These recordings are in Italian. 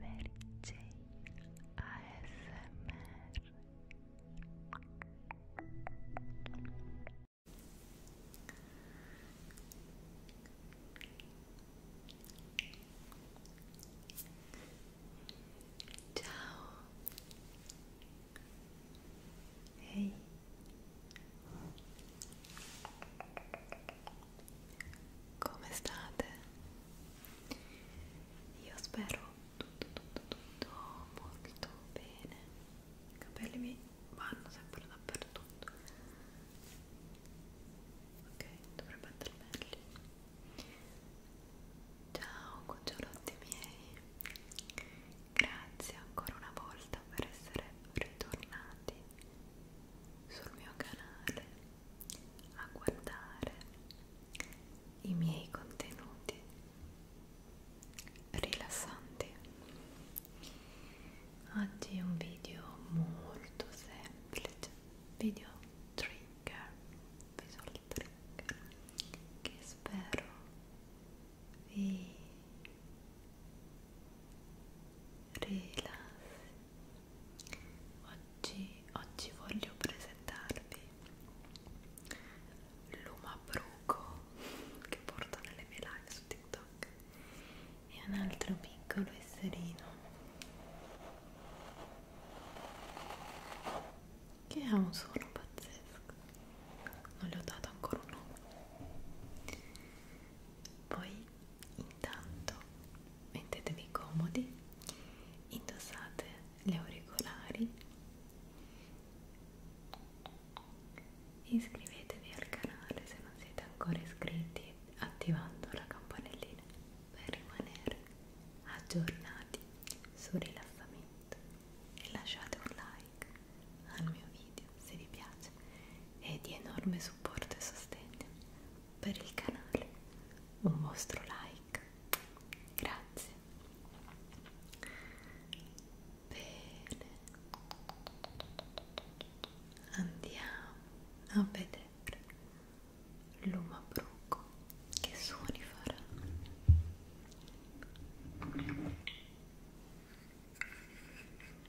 Mary J ASMR Ciao Hey come state? Io spero tutto, tutto, tutto molto bene. I capelli mi vanno sempre dappertutto. Ok, dovrebbe andare meglio. Ciao cucciolotti miei, grazie ancora una volta per essere ritornati sul mio canale a guardare i miei contenuti rilassanti. Oggi è un video molto semplice, video trigger, visual trigger, che spero vi rilassi Oggi, oggi voglio presentarvi l'umabruco che porto nelle mie live su TikTok e un altro piccolo esserino che ha un suono pazzesco non le ho dato ancora un nome poi Intanto mettetevi comodi, indossate gli auricolari e iscrivetevi al canale se non siete ancora iscritti attivando la campanellina per rimanere aggiornati sul rilassamento e lasciate un like al mio video se vi piace è di enorme supporto e sostegno per il canale, un vostro like, grazie. Bene, andiamo a vedere l'umabruco che suoni farà.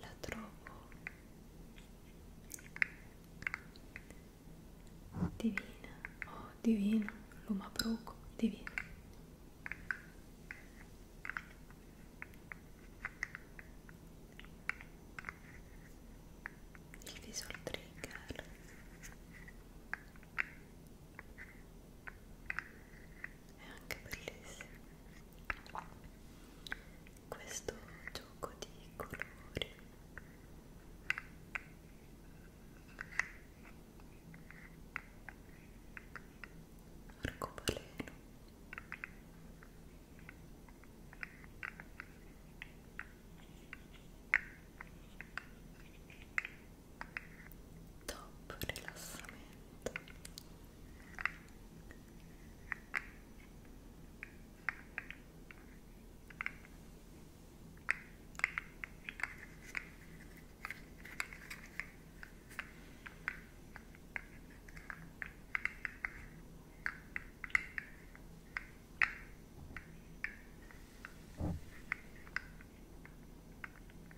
la trovo divina, oh divino, l'umabruco, divino. Il visual trigger è anche bellissimo questo gioco di colori arcobaleno top rilassamento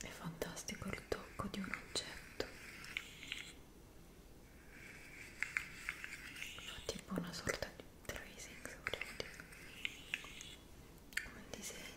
È fantastico il tocco di un oggetto. Fa tipo una sorta di tracing, se vogliamo dire. Come un disegno.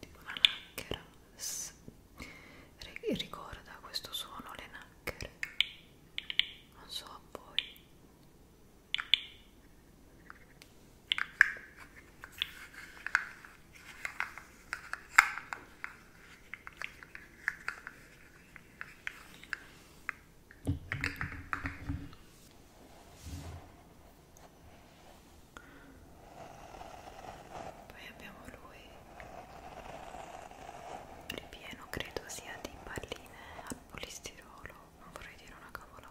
tipo una lacchera ricorda questo suono le nacchere non so a voi poi abbiamo lui ripieno credo sia di palline al polistirolo non vorrei dire una cavolata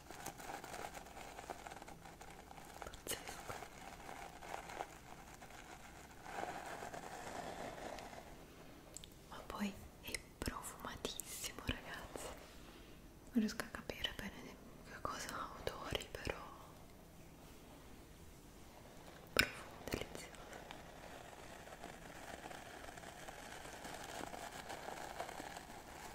Pazzesco. Ma poi è profumatissimo, ragazzi. Non riesco a capire bene che cosa odori, però profumo delizioso.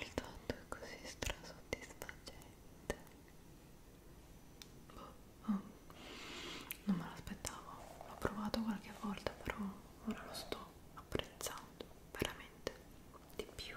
il tutto è così strasoddisfacente boh, oh. non me l'aspettavo l'ho provato qualche volta però ora lo sto apprezzando veramente di più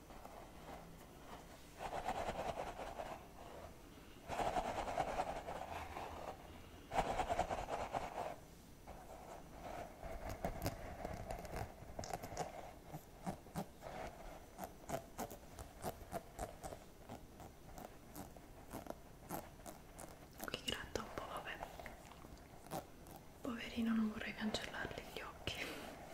Qui gratta un po', vabbè. Poverino, non vorrei cancellargli gli occhi.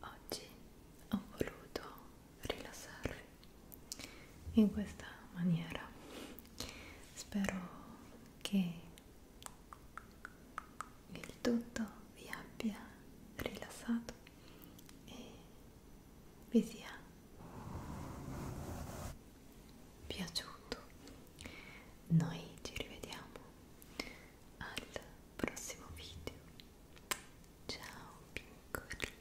Oggi ho voluto rilassarvi in questa maniera. Spero che il tutto vi abbia rilassato e vi sia piaciuto. Noi ci rivediamo al prossimo video. Ciao piccoli!